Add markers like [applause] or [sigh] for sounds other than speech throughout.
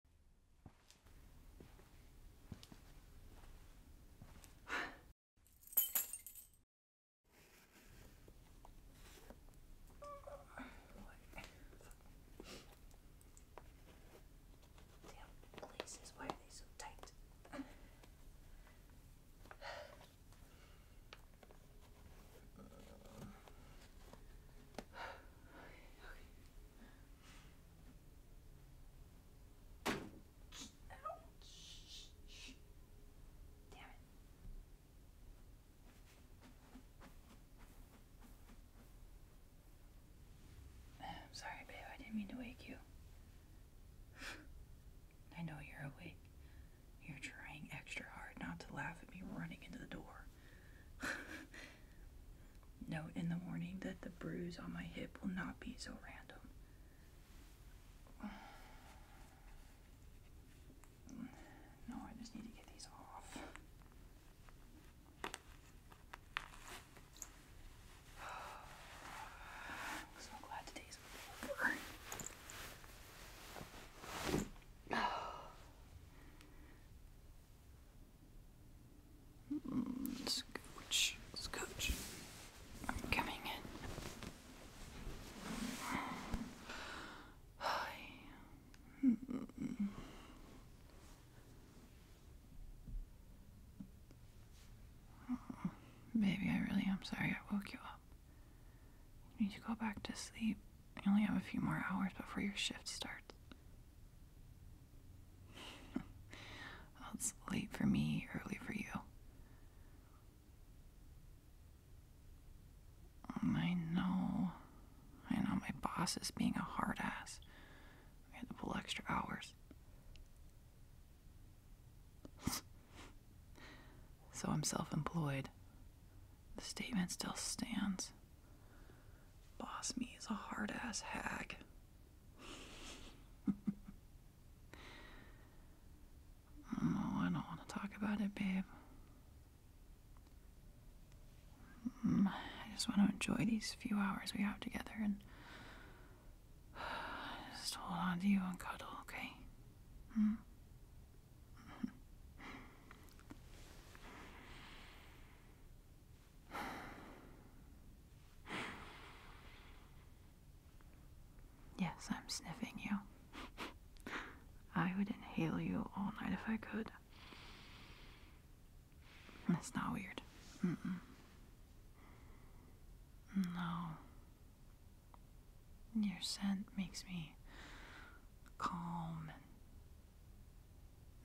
Damn places, why are they so tight? okay. Damn it. [sighs] sorry, babe. I didn't mean to wake you. [sighs] I know you're awake. You're trying extra hard not to laugh at me running into the door. [laughs] Note in the morning that the bruise on my hip will not be so random. [sighs] No, I just need to get these off. [sighs] I'm so glad today's over. [sighs] scooch, scooch. I'm coming in. Hi. baby, I really am sorry I woke you up. need to go back to sleep. I only have a few more hours before your shift starts. [laughs] well, it's late for me, early for you. Mm, I know. I know my boss is being a hard ass. We had to pull extra hours. [laughs] so I'm self employed. The statement still stands. Boss me is a hard ass hag. oh, I don't want to talk about it, babe. Mm, I just want to enjoy these few hours we have together and [sighs] just hold on to you and cuddle, okay? Hmm? Yes, I'm sniffing you. I would inhale you all night if I could. It's not weird. No. Your scent makes me calm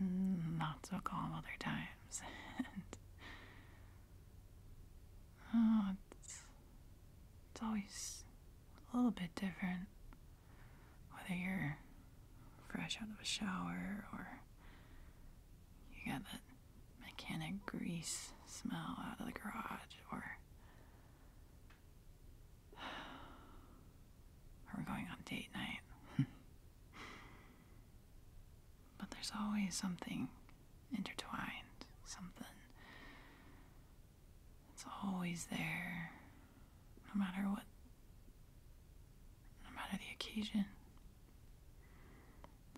not so calm other times. [laughs] Oh, it's, it's always a little bit different whether you're fresh out of a shower or you got that mechanic grease smell out of the garage or or we're going on date night. [laughs] but there's always something intertwined, something It's always there, no matter what, no matter the occasion.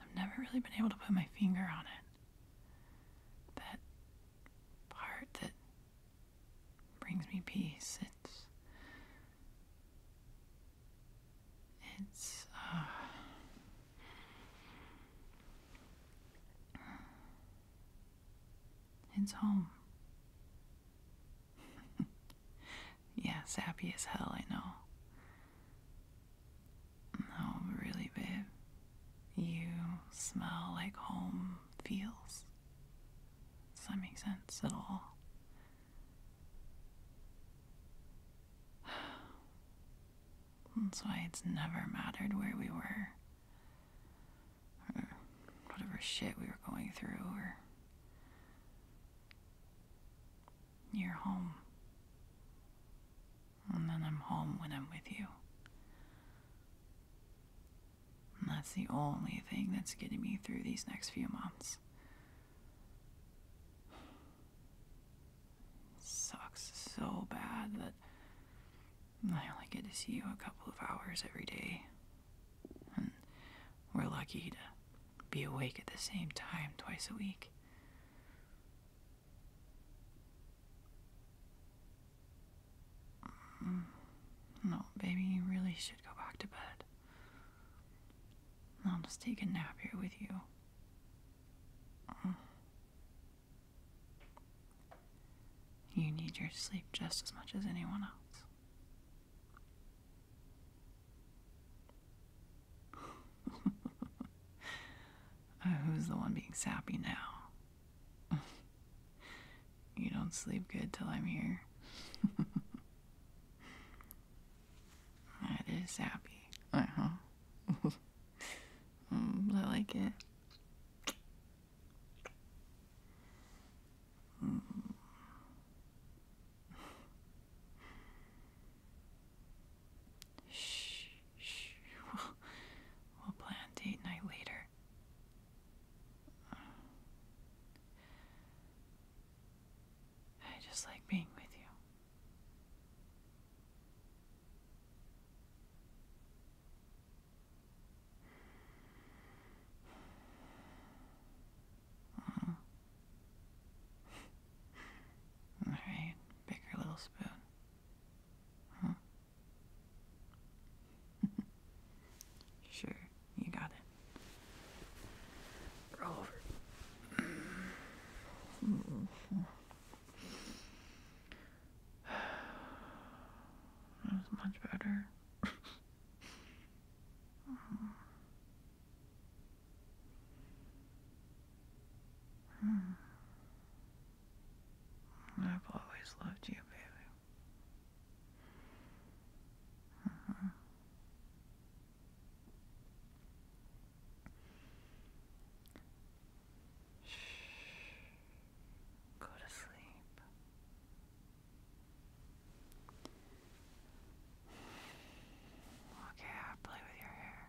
I've never really been able to put my finger on it. That part that brings me peace. It's it's uh, it's home. [laughs] yeah, sappy as hell, I know. No, really, babe. You smell like home feels. Does that make sense at all? [sighs] That's why it's never mattered where we were, or whatever shit we were going through, or you home. And then I'm home when I'm with you that's the only thing that's getting me through these next few months. sucks so bad that I only get to see you a couple of hours every day. And we're lucky to be awake at the same time twice a week. Mm, no, baby, you really should go back to bed. I'll just take a nap here with you. You need your sleep just as much as anyone else. [laughs] Uh, who's the one being sappy now? you don't sleep good till I'm here. [laughs] that is happy. Uh huh. [laughs] Mm, I like it. Mm. Shh. Shh, we'll, plan date night later. I just like being with you. All right, bigger little spoon. Huh? [laughs] sure, you got it. Roll over. [sighs] that was much better. [laughs] Hmm. I've always loved you, baby. Shh. Uh-huh. Go to sleep. Okay, I'll play with your hair.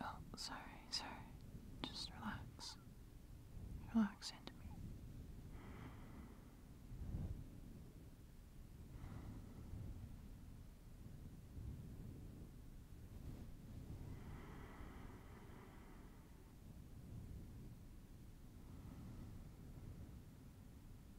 Oh, sorry, sorry. Just relax. Relax into me.